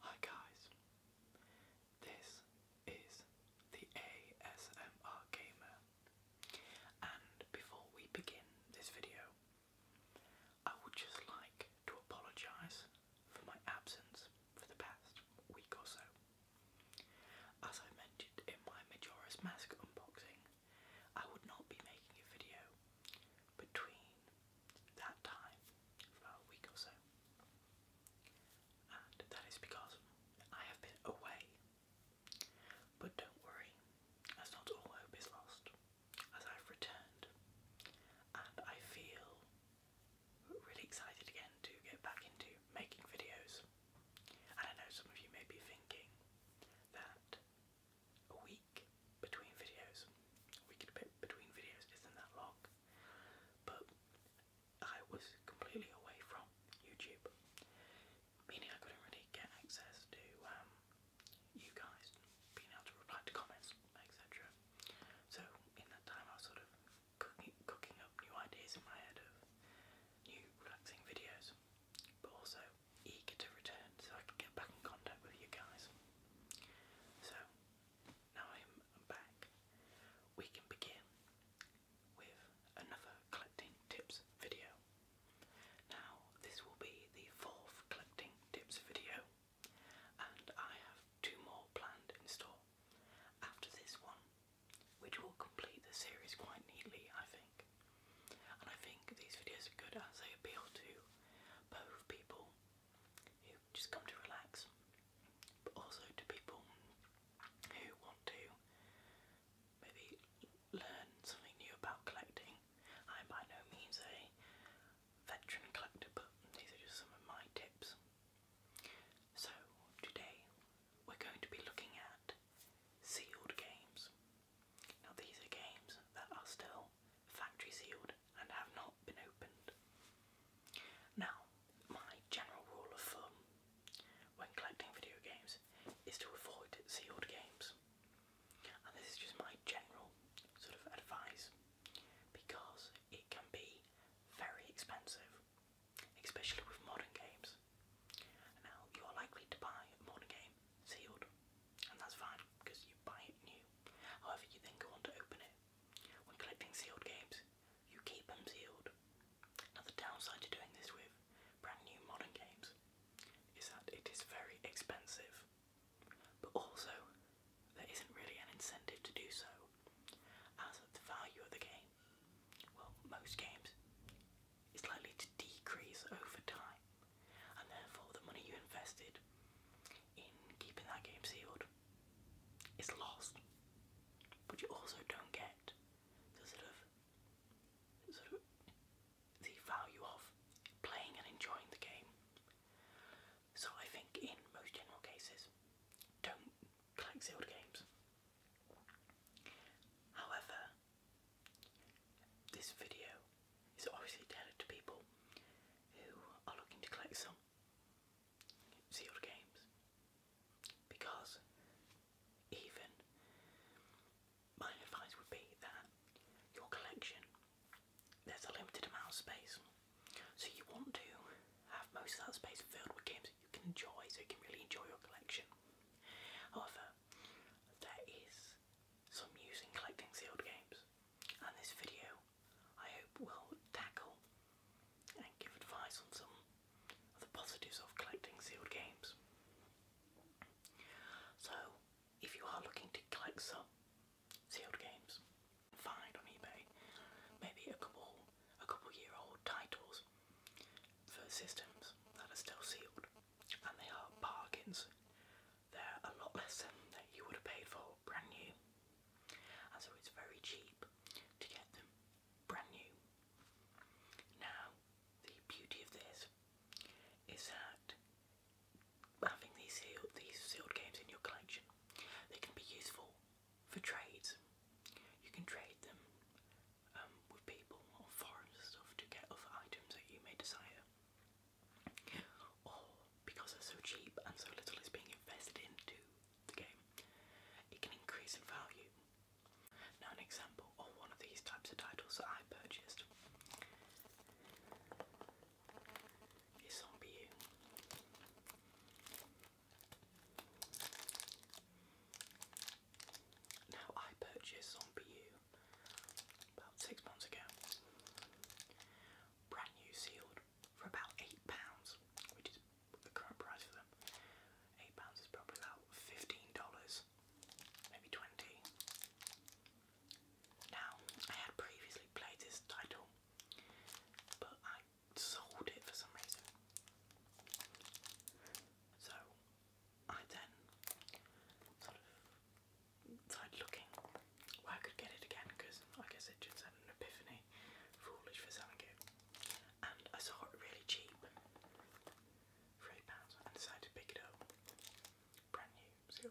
Hi guys, this is the ASMR Gamer, and before we begin this video, I would just like to apologise for my absence for the past week or so. As I mentioned in my Majora's Mask unboxing, I would not be making a video between that time for a week or so. And that is because I have been away. But don't worry, as not all hope is lost, as I've returned and I feel really excited again to get back into making videos. And I know some of you may be thinking that a week between videos, a week between videos isn't that long, but I was completely away from YouTube, meaning I couldn't really get access to um, you guys being able to reply to comments, etc. So in that time I was sort of cooking, cooking up new ideas in my head of new relaxing videos, but also eager to return so I can get back in contact with you guys. So now I'm back, we can begin with another collecting tips video. Now this will be the fourth collecting tips video, and I have two more planned in store after this one, which will complete the series quite neatly, I think. And I think these videos are good as they appeal to both people who just come to relax, but also to people who want to maybe learn something new about collecting. I'm by no means a veteran collector, but these are just some of my tips. So, today we're going to be looking at sealed games. Now, these are games that are still factory sealed and have not been opened. Now, my general rule of thumb when collecting video games is to avoid sealed games. And this is just my general sort of advice because it can be very expensive, especially with modern games. Now, you're likely to buy modern game sealed, and that's fine because you buy it new. However, you then go on to open it. When collecting sealed games, you keep them sealed. Now, the downside to doing this with brand new modern games is that it is very expensive, but also there isn't really an incentive to do so, as the value of the game, well, most games, is likely to decrease over time, and therefore the money you invested in keeping that game sealed is lost. But you also don't get the sort of sort of the value of playing and enjoying the game. So I think in most general cases, don't collect sealed games. However, this video is obviously tailored to people who are looking to collect some sealed games because even my advice would be that your collection there's a limited amount of space so you want to have most of that space filled with games that you can enjoy, so you can really enjoy your collection. However, there is some use collecting sealed games, and this video I hope will tackle and give advice on some of the positives of collecting sealed games. So, if you are looking to collect some sealed games. Find on eBay maybe a couple a couple year old titles for systems that are still sealed and they are bargains. They're a lot less than that you would have paid for brand new. And so it's very cheap to get them brand new. Now the beauty of this is that having these sealed, these sealed games in your collection, they can be useful for trades, You can trade them um, with people or and stuff to get other items that you may desire. Or because they're so cheap and so little is being invested into the game, it can increase in value. Now an example of one of these types of titles that I purchased les zombies. Now I purchased Zombie about six months ago. Brand new sealed for about eight pounds, which is the current price for them. Eight pounds is probably about fifteen dollars, maybe twenty. Now I had previously played this title, but I I sold it for some reason. So I then sort of started looking where I could get it again because I guess it just had an epiphany, foolish for selling it. And I saw it really cheap for pounds and decided to pick it up. Brand new, so.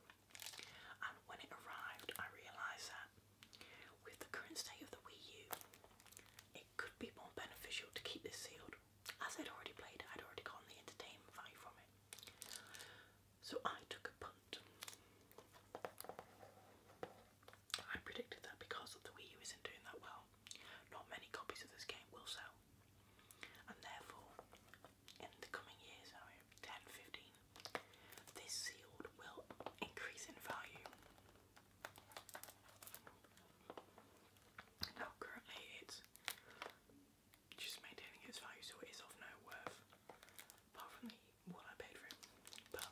And when it arrived, I realised that However, with the current state of the Wii U, it could be more beneficial to keep this sealed. As I'd already played it, I'd already gotten the entertainment value from it. So I took a punt. I predicted that because the Wii U isn't doing that well, not many copies of this game will sell. And therefore, in the coming years, 10, this sealed will increase in value. Now currently it's just maintaining its value so it is of no worth apart from the what I paid for it. But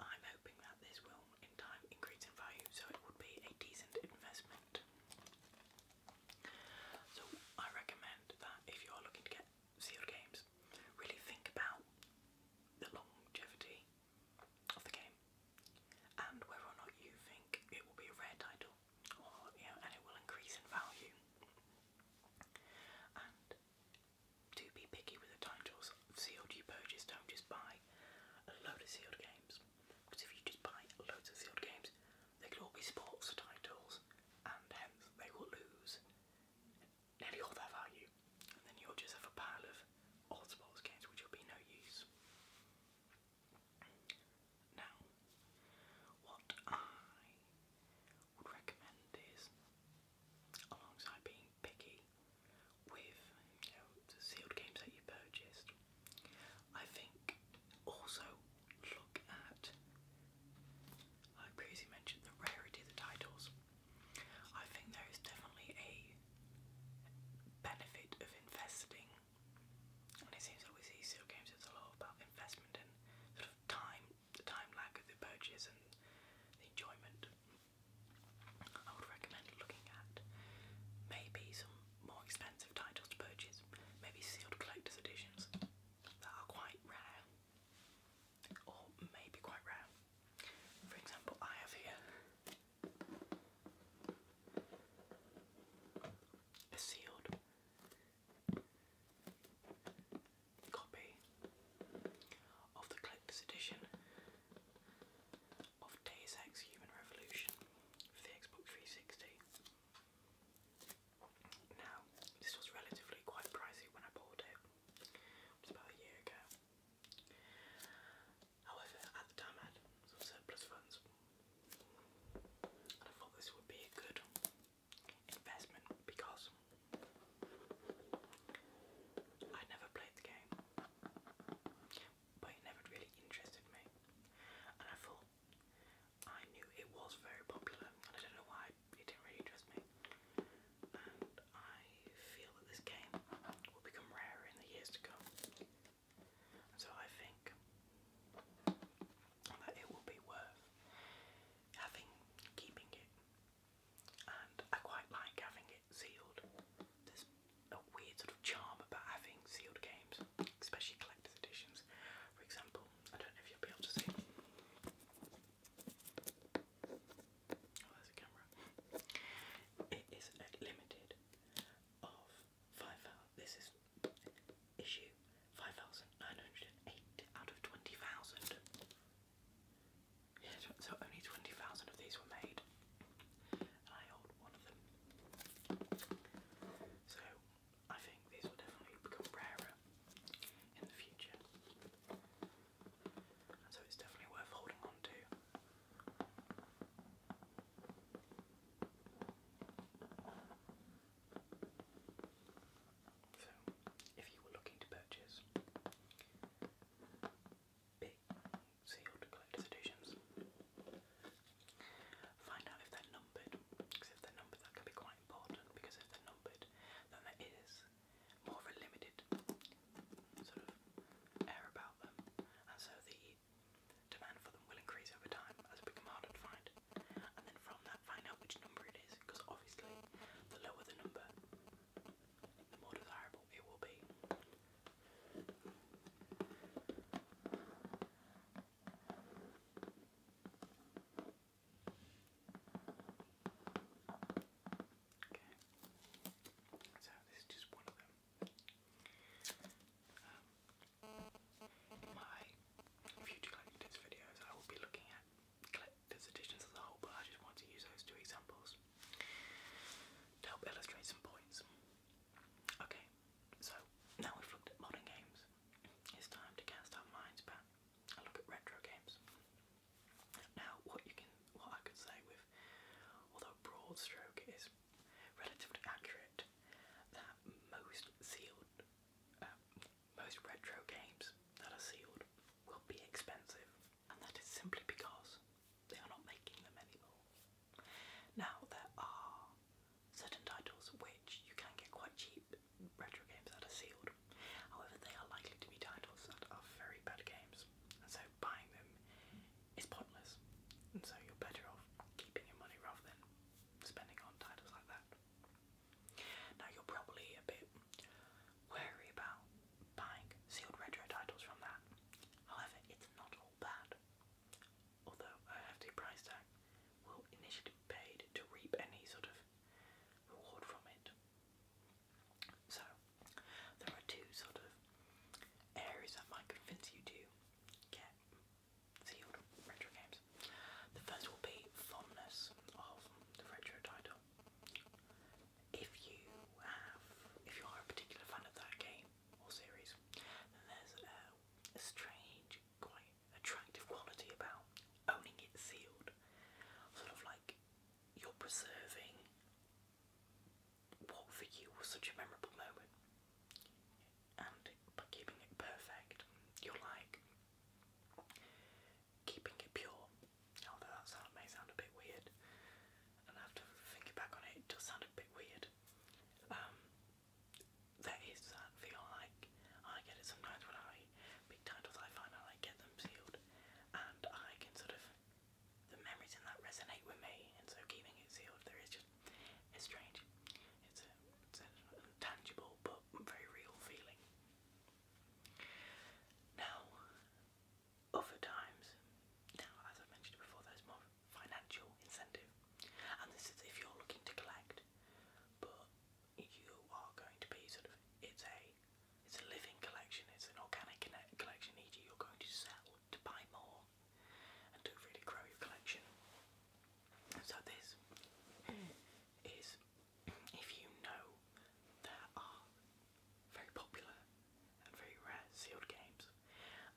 I'm hoping that this will in time increase in value so it would be a decent investment. So I recommend that if you are looking to get sealed games, really think about the longevity of the game and whether or not you think it will be a rare title or you and it will increase in value. And do be picky with the titles of sealed don't just buy a load of sealed games. Because if you just buy loads of sealed games, they could all be sports titles and hence they will lose nearly all their value, and then you'll just have a pile of old sports games which will be no use. Now, what I would recommend is, alongside being picky with you know, the sealed games that you purchased, I think also look at. I previously mentioned the rarity of the titles. I think there is definitely a benefit of investing, and it seems that we games it's a lot about investment and sort of time, the time lag of the purchase and the enjoyment. I would recommend looking at maybe some more expensive titles to purchase, maybe sealed collector's editions that are quite rare or maybe quite rare. For example, I have here a sealed copy of the collector's edition of Deus Ex Human Revolution for the Xbox 360. Now, this was relatively quite pricey when I bought it, which is about a year ago. However, at the time I had some surplus funds, and I thought this would be a good investment because I'd never played the game, but it never really interested me, and I thought I knew it was very popular, and I don't know why it didn't really trust me. And I feel that this game will become rarer in the years to come. so I think that it will be worth having, keeping it. And I quite like having it sealed. There's a weird sort of charm about having sealed games especially collector's editions. For example, I don't know if you'll be able to see. Oh, there's a camera. It is limited of five. This is issue five thousand nine hundred and eight out of twenty thousand. Yeah, so only twenty thousand of these were made, I hold one of them. So I think these will definitely become rarer in the future. so it's definitely worth holding on to. So, if you were looking to purchase big sealed collector's editions, find out if they're numbered, because if they're numbered, that could be quite important because if they're numbered, then there is more of a limited sort of air about them, and so the demand for them will increase over time as it becomes harder to And then from that, find out which number it is, because obviously, the lower the number, the more desirable it will be. Okay. So this is just one of them. Um, my future collectors videos I will be looking at collectors editions as a whole, but I just want to use those two examples to help illustrate some points. Okay, so now we've looked at modern games, it's time to cast our minds back and look at retro games. Now, what you can, what I could say with, although broad stroke is relatively accurate, that most sealed, um, most retro games that are sealed will be expensive, and that is simply because they are not making them anymore. Now there are are certain titles which you can get quite cheap retro games that are sealed. However, they are likely to be titles that are very bad games, and so buying them is pointless. And so you're better off keeping your money rather than spending on titles like that. Now you're probably a bit wary about buying sealed retro titles from that. However, it's not all bad although a hefty price tag, will initially be paid to reap any sort of reward from it. So, there are two sort of areas that might convince you to get sealed retro games. The first will be fondness of the retro title. If you have, if you are a particular fan of that game or series, then there's a strange, quite attractive quality about owning it sealed. Sort of like you're preserving what for you was such a memorable moment, and by keeping it perfect, you're like keeping it pure. Although that sound may sound a bit weird, and after thinking back on it, it does sound a bit weird. Um, there is that feel like I get it sometimes when I big titles I find I like get them sealed and I can sort of the memories in that resonate with me and so keeping it sealed there is just it's strange. It's a, it's a tangible but very real feeling. Now other times now as i mentioned before there's more financial incentive and this is if you're looking to collect but you are going to be sort of it's a it's a living collection, it's an organic collection, e.g. you're going to sell to buy more and to really grow your collection. So this is if you know there are very popular and very rare sealed games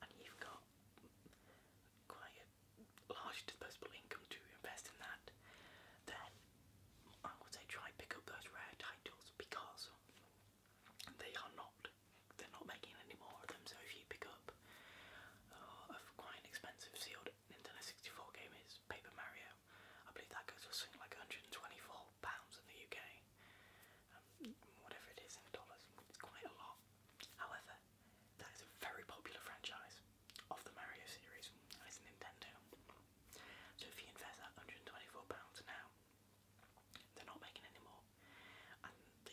and you've got quite a large disposable income to invest in that, then I would say try pick up those rare titles because they are not they're not making any more of them. So if you pick up uh, a quite expensive sealed Nintendo 64 game is Paper Mario, I believe that goes for something like 124 pounds in the UK. Um, whatever it is in dollars, it's quite a lot. However, that is a very popular franchise of the Mario series, it's Nintendo. So if you invest that £124 now, they're not making any more. And the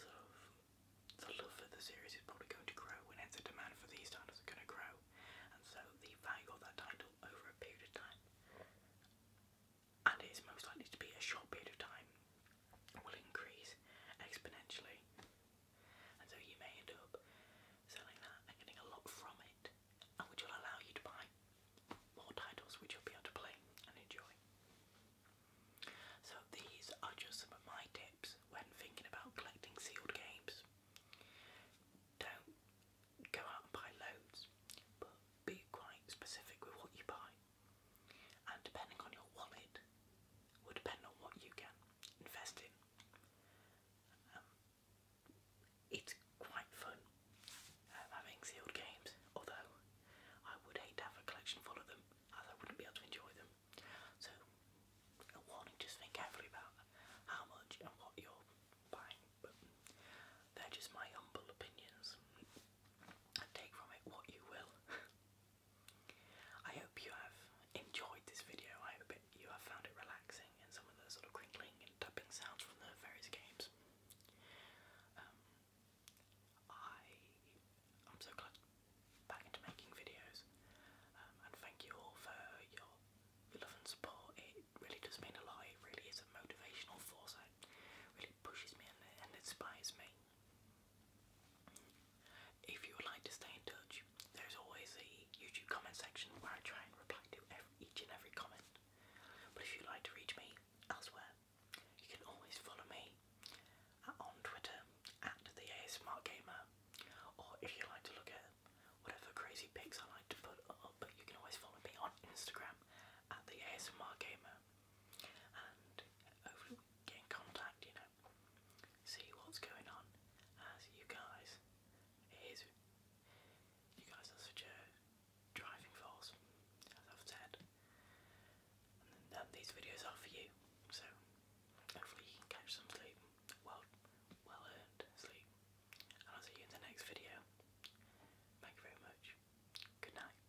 sort of the love for the series is probably going to grow and hence the demand for these titles are gonna grow. And so the value of that title over a period of time and it is most likely to be a short period of time will increase exponentially, and so you may end up selling that and getting a lot from it, and which will allow you to buy more titles which you'll be able to play and enjoy. So, these are just some of my tips when thinking about collecting sealed games. Don't go out and buy loads, but be quite specific with what you buy and depending on your wallet will depend on what you can invest in. Um, it's quite fun um, having sealed games, although I would hate to have a collection full of them as I wouldn't be able to enjoy them. So, a warning, just think carefully about how much and what you're buying. But they're just my humble opinions. And take from it what you will. I hope you have enjoyed this video. I hope you have found it relaxing and some of the sort of crinkling and tapping sounds from the various games. Um, I I'm so glad back into making videos, um, and thank you all for your, love and support. It really does mean a lot. It really is a motivational force. It really pushes me and inspires me. If you would like to stay in touch, there is always a YouTube comment section where I try and reply to each and every comment. But if you'd like to reach me elsewhere, you can always follow me on Twitter at the ASMR Gamer, or if you like to look at whatever crazy pics I like to put up, you can always follow me on Instagram at the ASMR Gamer get in contact, you know, see what's going on as you guys. It is, you guys are such a driving force, as I've said. and these videos are for you, so hopefully you can catch some sleep, well, well earned sleep. And I'll see you in the next video. Thank you very much. Good night.